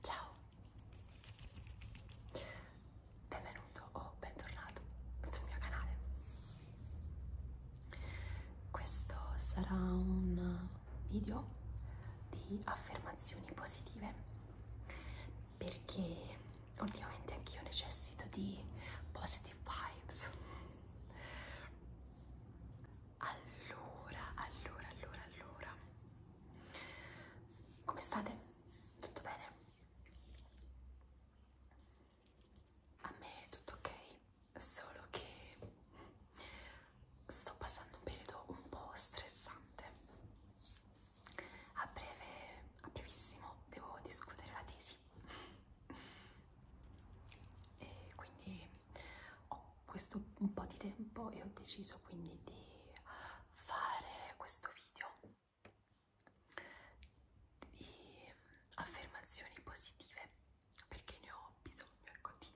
Ciao, benvenuto o bentornato sul mio canale. Questo sarà un video di affermazioni positive perché ultimamente anch'io necessito di positive vibes. Allora, allora, allora, allora. Come state? Tutto bene? A me è tutto ok, solo che sto passando un periodo un po' stressante. A breve, a brevissimo, devo discutere la tesi. E quindi ho questo un po' di tempo e ho deciso quindi di fare questo video di affermazioni positive perché ne ho bisogno ecco, di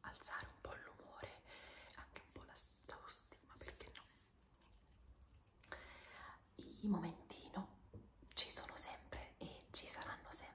alzare un po' l'umore e anche un po' la l'autostima perché no i momentino ci sono sempre e ci saranno sempre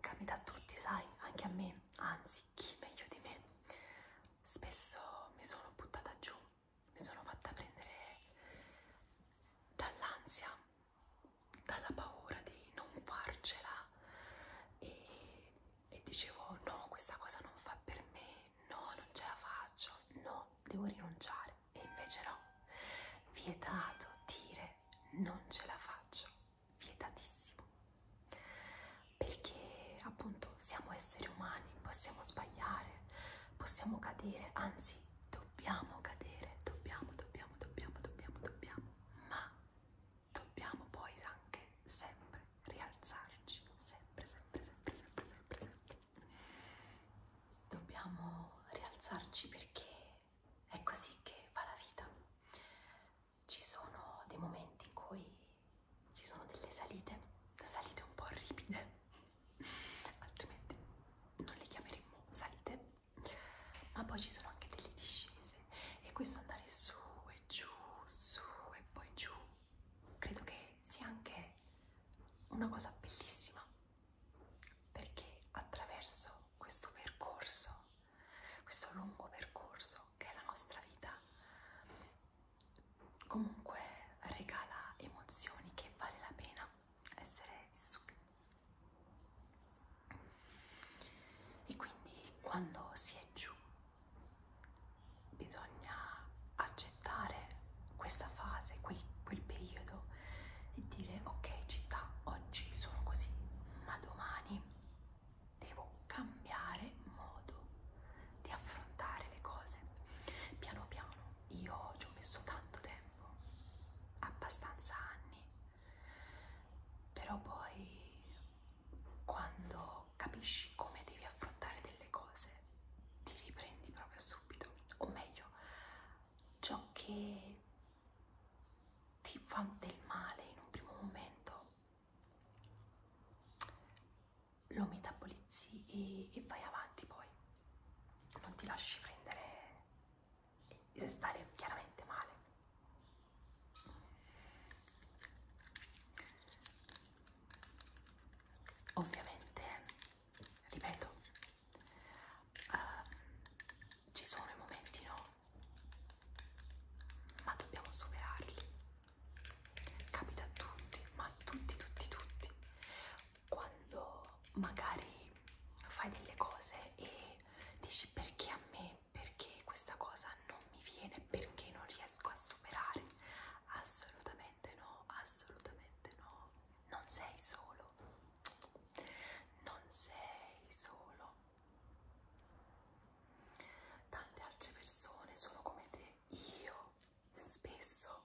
Capita a tutti, sai, anche a me, anzi, chi meglio di me. Spesso mi sono buttata giù, mi sono fatta prendere dall'ansia, dalla paura di non farcela e, e dicevo no, questa cosa non fa per me, no, non ce la faccio, no, devo rinunciare. E invece no, vietato dire non ce la faccio, vietatissimo, perché appunto siamo esseri umani, possiamo sbagliare, possiamo cadere, anzi dobbiamo cadere, dobbiamo, dobbiamo, dobbiamo, dobbiamo, dobbiamo, ma dobbiamo poi anche sempre rialzarci, sempre, sempre, sempre, sempre, sempre, sempre. Dobbiamo rialzarci perché è così che va la vita. Ci sono dei momenti in cui ci sono delle salite, salite un po' ripide, altrimenti non le chiameremmo salite, ma poi ci sono anche delle discese e questo andare su e giù, su e poi giù, credo che sia anche una cosa bellissima perché attraverso questo percorso, questo lungo percorso che è la nostra vita, comunque regala emozioni che vale la pena essere vissute. E quindi quando si è giù bisogna accettare questa fase, quel, quel periodo e dire ok ci sta oggi sono così ma domani devo cambiare modo di affrontare le cose piano piano io ci ho messo tanto tempo abbastanza anni però poi quando capisci come devi affrontare delle cose ti riprendi proprio subito o meglio ciò che ti fa del male in un primo momento, lo metabolizzi e, e vai avanti poi, non ti lasci prendere e stare chiaramente male. Ovviamente, ripeto, uh, ci sono i momenti no, ma dobbiamo superarli. Capita a tutti, ma a tutti, tutti, tutti. Quando magari fai delle cose e dici perché a me, perché questa cosa non mi viene, perché non riesco a superare, assolutamente no, assolutamente no. Non sei solo, non sei solo. Tante altre persone sono come te. Io spesso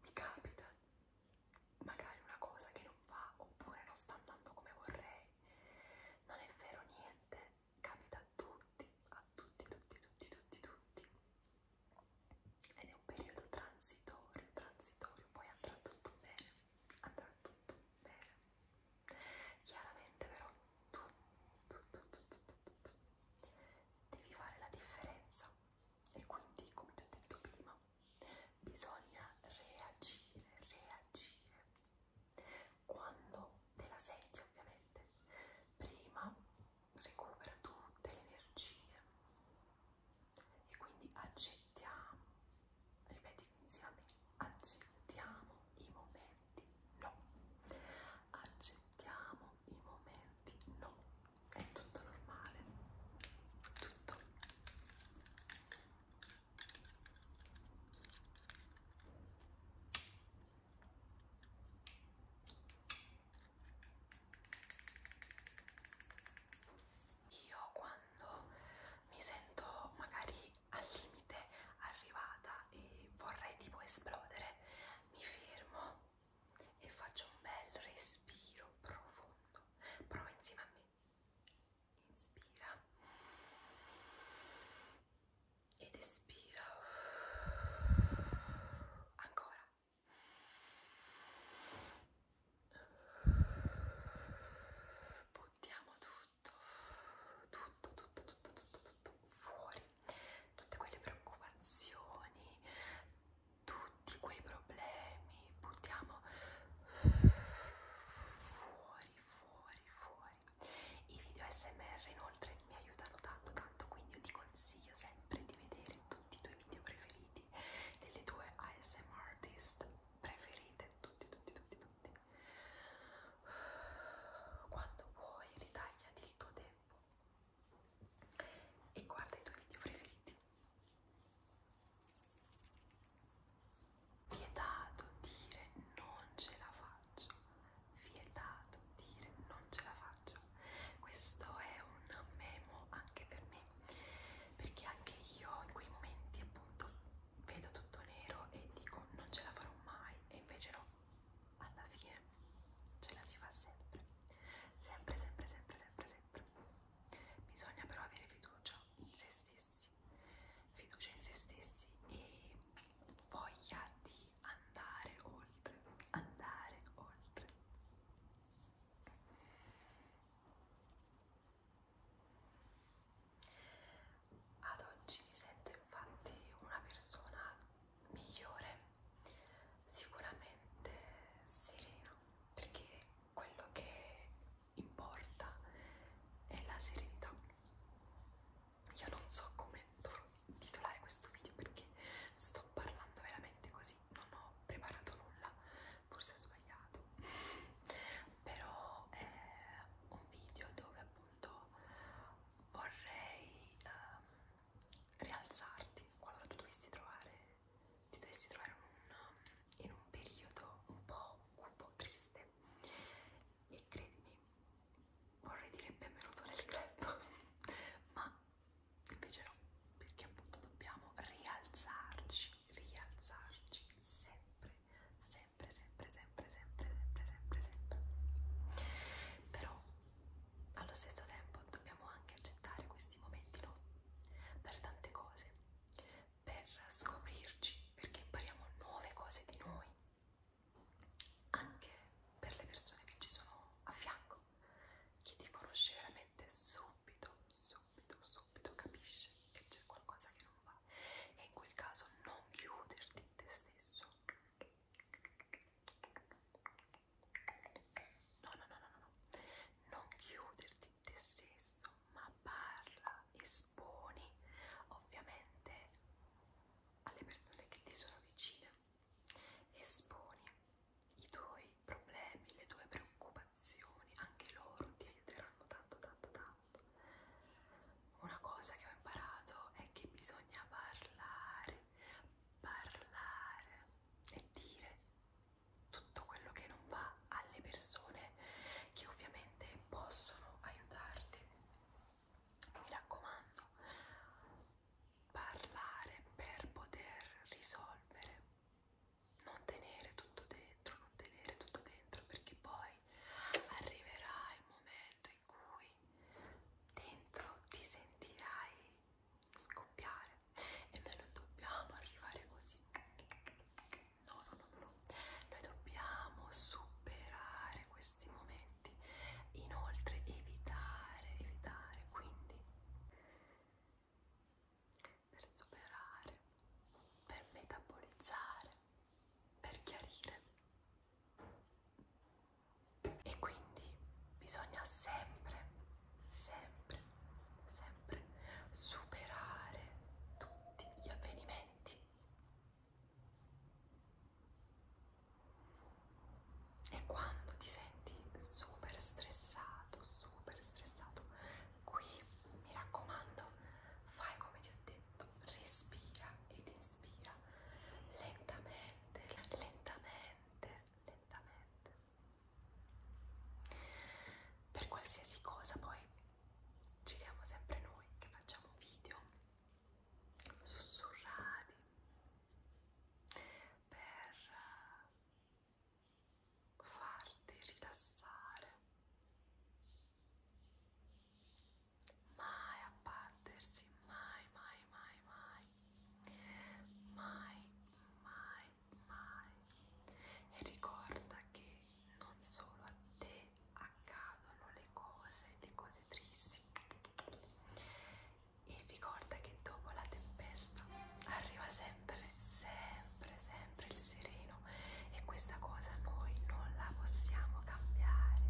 mi capita magari una cosa che non va oppure non sta andando come vorrei. Non è vero niente, capita a tutti, a tutti, tutti, tutti, tutti, tutti. Ed è un periodo transitorio, transitorio, poi andrà tutto bene, andrà tutto bene. Chiaramente però tu, tu, tu, tu, tu, tu, tu, devi fare la differenza e quindi, come ti ho detto prima, bisogna reagire, reagire. Quando te la senti ovviamente, prima recupera tutte le energie e quindi accettiamo, ripeti insieme, accettiamo i momenti no, accettiamo i momenti no, è tutto normale, tutto io quando mi sento magari al limite arrivata e vorrei tipo esplodere, mi fermo e faccio un bel respiro profondo. Prova insieme a me. Inspira ed espira. Ancora buttiamo tutto tutto tutto tutto tutto tutto fuori tutte quelle preoccupazioni tutti quei problemi buttiamo fuori fuori fuori i video smr inoltre mi aiutano tanto tanto quindi io ti consiglio sempre di vedere tutti i tuoi video preferiti quindi delle tue ASM artist preferite tutti tutti tutti tutti quando vuoi ritagliati il tuo tempo e guarda i tuoi video preferiti vietato dire non ce la faccio vietato dire non ce la faccio meraviglioso. Questo è un memo anche per me, perché anche io in quei momenti appunto vedo tutto nero e dico non ce la farò mai e invece no, alla fine ce la si fa sempre, sempre, sempre, sempre, sempre, sempre. Bisogna però avere fiducia in se stessi, fiducia in se stessi e voglia di andare oltre, andare oltre. Ad oggi mi sento infatti una persona migliore, sicuramente serena, perché quello che importa è la serenità. Io non so come titolare questo video perché sto parlando veramente così non ho preparato nulla, forse ho sbagliato, però è un video dove appunto vorrei um, rialzarti qualora tu dovessi trovare, ti dovessi trovare un, in un periodo un po' cupo, triste e credimi vorrei dire benvenuto nel club ma invece no, perché appunto dobbiamo rialzarci, rialzarci sempre, sempre, sempre, sempre, sempre, sempre, sempre, sempre. Però allo stesso tempo dobbiamo anche accettare questi momenti, no? Per tante cose, per scoprirci, perché impariamo nuove cose di noi, anche per le persone che ci sono a fianco, che ti conosce veramente mente subito, subito, subito capisce che c'è qualcosa che non va e in quel caso non chiuderti in te stesso. No, no, no, no, no, no. non chiuderti in te stesso, ma parla, esponi ovviamente alle persone che ti sono vicine, esponi i tuoi problemi, le tue preoccupazioni, anche loro ti aiuteranno tanto tanto tanto. Una cosa che ho imparato è che bisogna parlare, parlare e dire tutto quello che non va alle persone che ovviamente possono aiutarti. Mi raccomando, parlare per poter risolvere, non tenere tutto dentro, non tenere tutto dentro perché poi arriverà il momento in cui dentro ti sentirai scoppiare e noi non dobbiamo arrivare così. No, no, no, no. Noi dobbiamo superare questi momenti. Inoltre evitare, evitare, quindi per superare, per metabolizzare, per chiarire. E quindi bisogna sempre, sempre, sempre superare tutti gli avvenimenti. E quando ti senti super stressato, super stressato, qui mi raccomando, fai come ti ho detto, respira ed inspira lentamente, lentamente, lentamente. Per qualsiasi cosa poi ci siamo sempre noi che facciamo video sussurrati per eh, farti rilassare mai abbattersi mai mai mai mai mai mai mai e ricorda che non solo a te accadono le cose le cose tristi e ricorda che dopo la tempesta arriva sempre, sempre, sempre il sereno e questa cosa noi non la possiamo cambiare.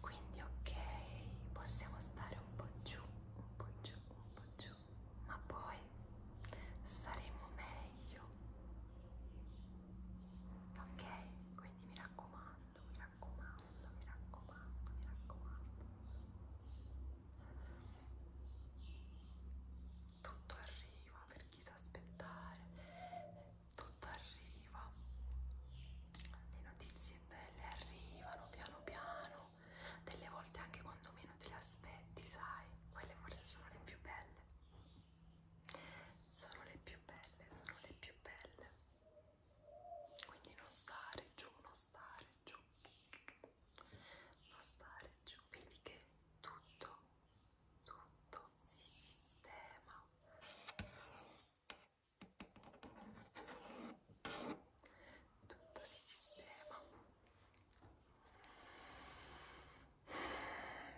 Quindi ok, possiamo stare un po' giù, un po' giù, un po' giù, ma poi staremo meglio. Ok, quindi mi raccomando raccomando, mi raccomando, mi raccomando, mi raccomando. Tutto arriva per chi sa aspettare, tutto arriva. Le notizie belle arrivano piano piano, delle volte anche quando meno te le aspetti, sai, quelle forse sono le più belle. Sono le più belle, sono le più belle quindi non stare giù, non stare giù, non stare giù, vedi che tutto, tutto si sistema. Tutto si sistema.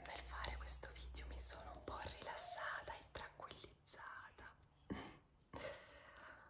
Nel fare questo video mi sono un po' rilassata e tranquillizzata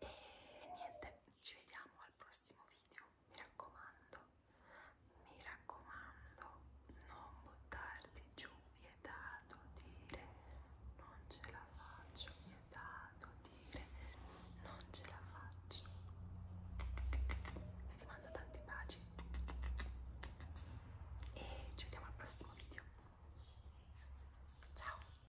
e niente ci vediamo al prossimo video mi raccomando mi raccomando non buttarti giù vietato dire non ce la faccio vietato dire non ce la faccio e ti mando tanti baci e ci vediamo al prossimo video ciao